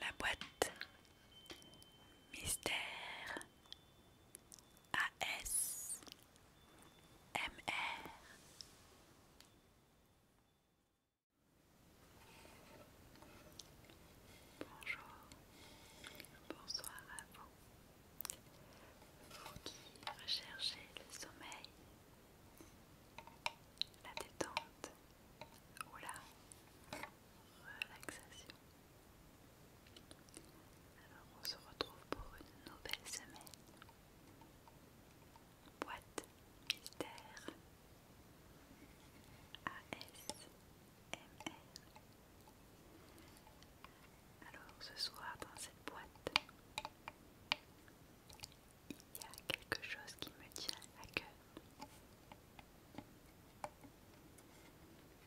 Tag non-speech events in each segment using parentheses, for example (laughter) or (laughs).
La boîte mystère MR Bonjour, bonsoir à vous. Vous qui recherchez le sommeil, la détente ou la relaxation. Alors on se retrouve pour une nouvelle semaine. Boîte mystère ASMR. Alors ce soir dans cette boîte, il y a quelque chose qui me tient à cœur.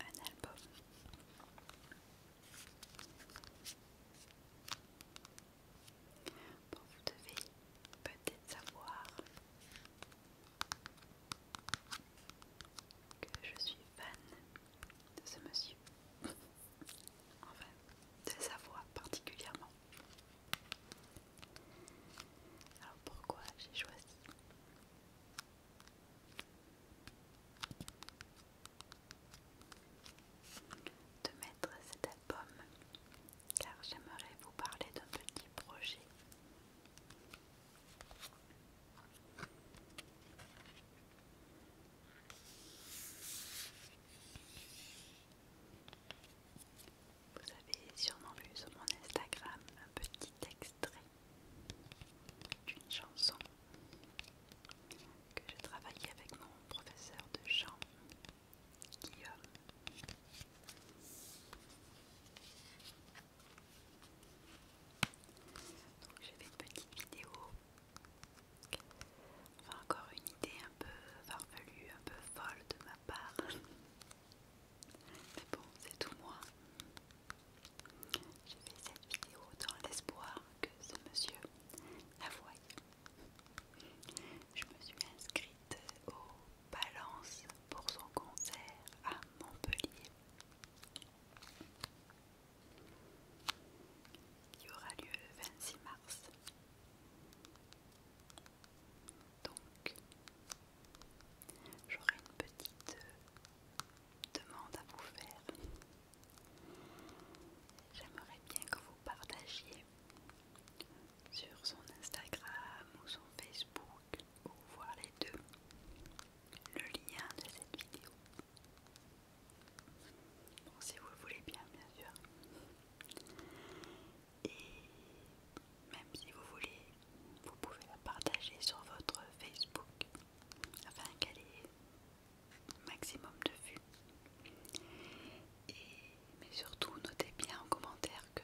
un album. vous devez peut-être savoir que je suis fan de ce monsieur. enfin, de sa voix particulièrement. Alors pourquoi j'ai choisi de mettre cet album car j'aimerais vous parler d'un petit projet. Vous avez sûrement vu sur mon Instagram un petit extrait d'une chanson que j'ai travaillée avec mon professeur de chant, Guillaume. Donc j'ai fait une petite vidéo, enfin encore une idée un peu farfelue, un peu folle de ma part. (laughs) Mais bon, c'est tout moi. J'ai fait cette vidéo dans l'espoir que ce monsieur la voie. Je me suis inscrite au Balance pour son concert à Montpellier qui aura lieu le 26 mars. Donc, J'aurais une petite euh, demande à vous faire. J'aimerais bien que vous partagiez sur son Instagram ou son Facebook ou voir les deux le lien de cette vidéo. si vous le voulez bien, bien sûr. Et même si vous voulez vous pouvez la partager sur votre Facebook afin qu'elle ait maximum de vues. mais surtout, notez bien en commentaire que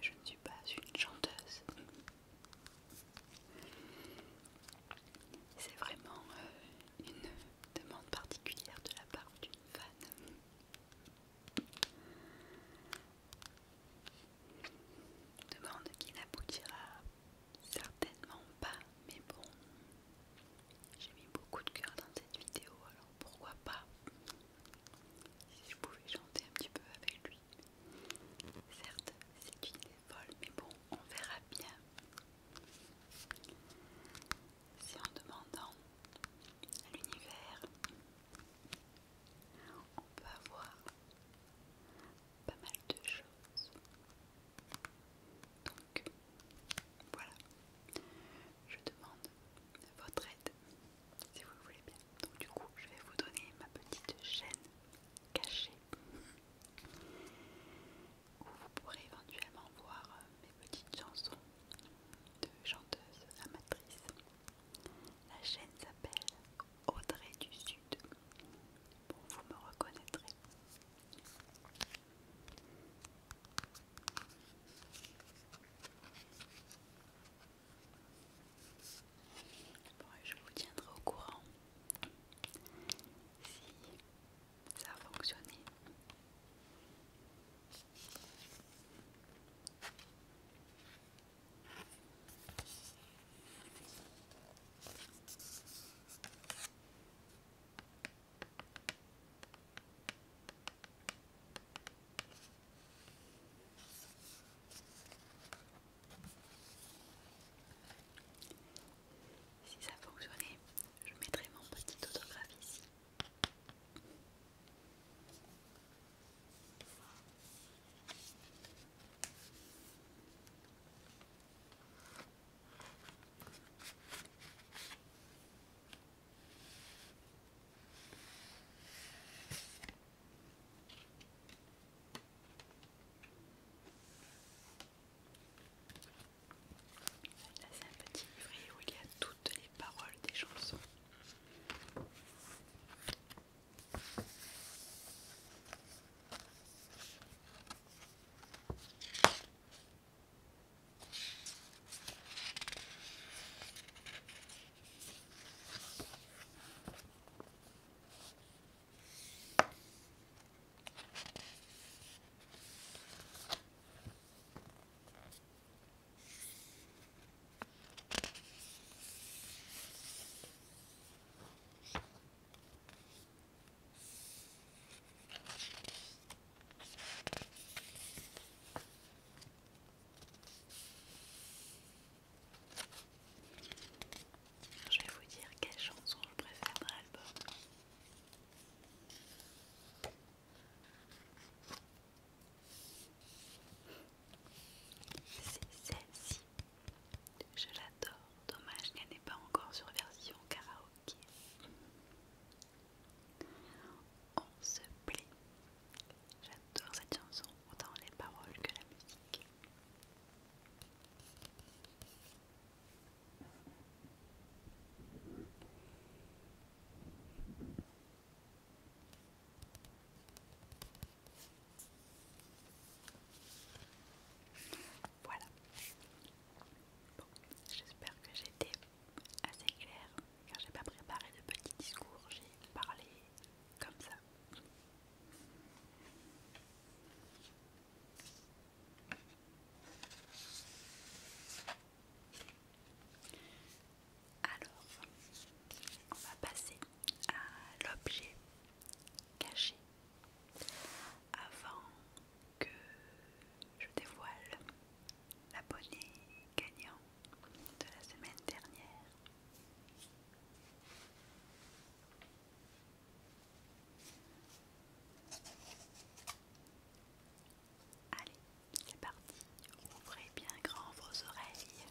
je ne suis pas une chanteuse. C'est vraiment euh, une demande particulière de la part d'une fan. Demande qui n'aboutira certainement pas, mais bon, j'ai mis beaucoup de cœur dans cette vidéo, alors pourquoi pas Si je pouvais chanter un petit peu avec lui. Certes, c'est une idée folle, mais bon, on verra bien. C'est en demandant à l'univers on peut avoir pas mal de choses. Donc voilà, je demande votre aide si vous le voulez bien. Donc du coup, je vais vous donner ma petite chaîne cachée où vous pourrez éventuellement voir euh, mes petites chansons de chanteuses amatrices la chaîne s'appelle Audrey du Sud. vous me reconnaîtrez. je vous tiendrai au courant si ça a fonctionné. Si ça fonctionnait, je mettrais mon petit autographe ici. Là c'est un petit livret où il y a tout les paroles des chansons. Je vais vous dire quelle chanson je préfère dans c'est celle-ci. Je l'adore. Dommage qu'elle n'est pas encore sur version karaoké. On se plaît. J'adore cette chanson, autant les paroles que la musique. Voilà. j'espère que j'ai été assez clair. car j'ai pas préparé de petit discours, j'ai parlé comme ça. Alors, on va passer à l'objet caché avant que je dévoile l'abonné gagnant de la semaine dernière. Allez, c'est parti. Ouvrez bien grand vos oreilles.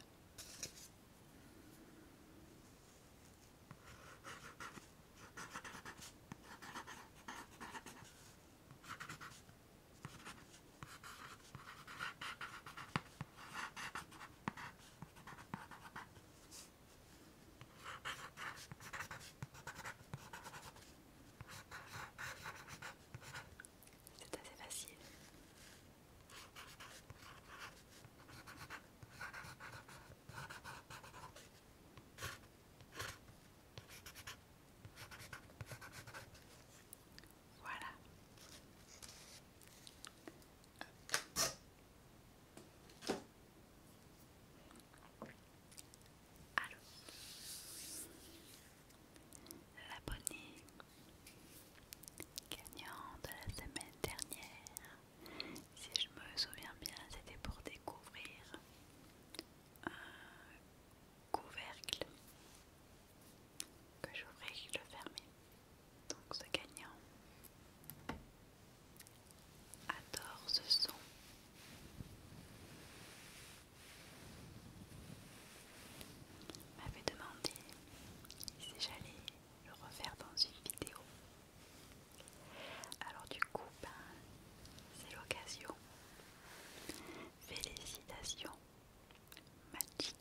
C'est assez facile. Voilà. Allô l'abonné gagnant de la semaine dernière, si je me souviens bien, c'était pour découvrir un couvercle que j'ouvrais et que je le fermais. Donc ce gagnant adore ce son. M'avait demandé si j'allais le refaire dans une vidéo. Alors du coup, ben, c'est l'occasion. Félicitations, Magic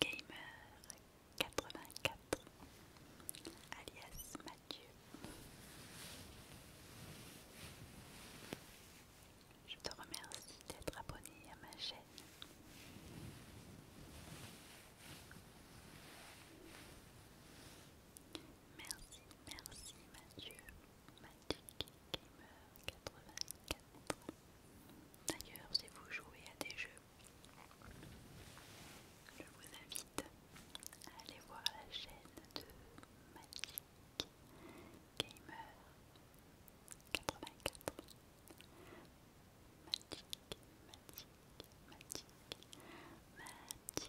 Gamer 84, alias Mathieu. Je te remercie d'être abonné à ma chaîne. Merci, merci Mathieu, Magic Gamer84. D'ailleurs, si vous jouez à des jeux, je vous invite allez voir la chaîne de Magic Gamer 84 Magic, Magic, Magic Magic Gamer 84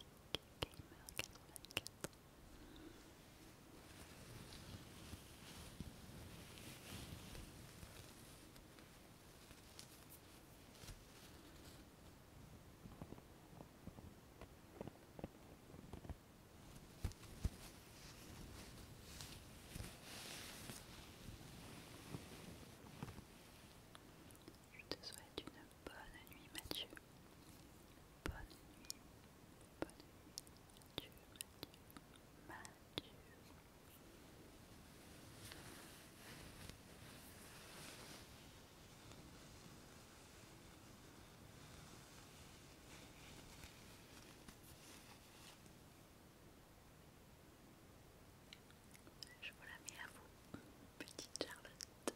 je te souhaite une bonne nuit, Mathieu. Bonne nuit, bonne nuit, Mathieu, je vous la mets à vous, petite Charlotte.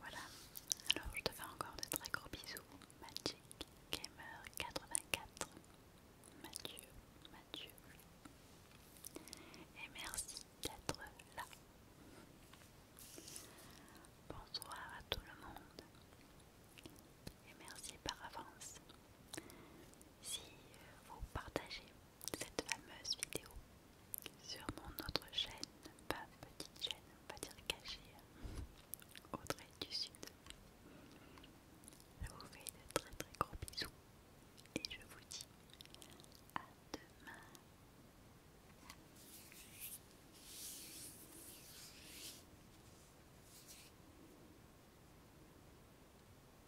Voilà, alors je te fais encore de très gros bisous. Magic Gamer 84. Mathieu, Mathieu. Et merci d'être là. Bonsoir à tout le monde. Et merci par avance si vous partagez cette fameuse vidéo sur mon autre chaîne, pas petite chaîne, on va dire cachée, hein, Audrey du Sud. Je vous fais de très très gros bisous et je vous dis à demain.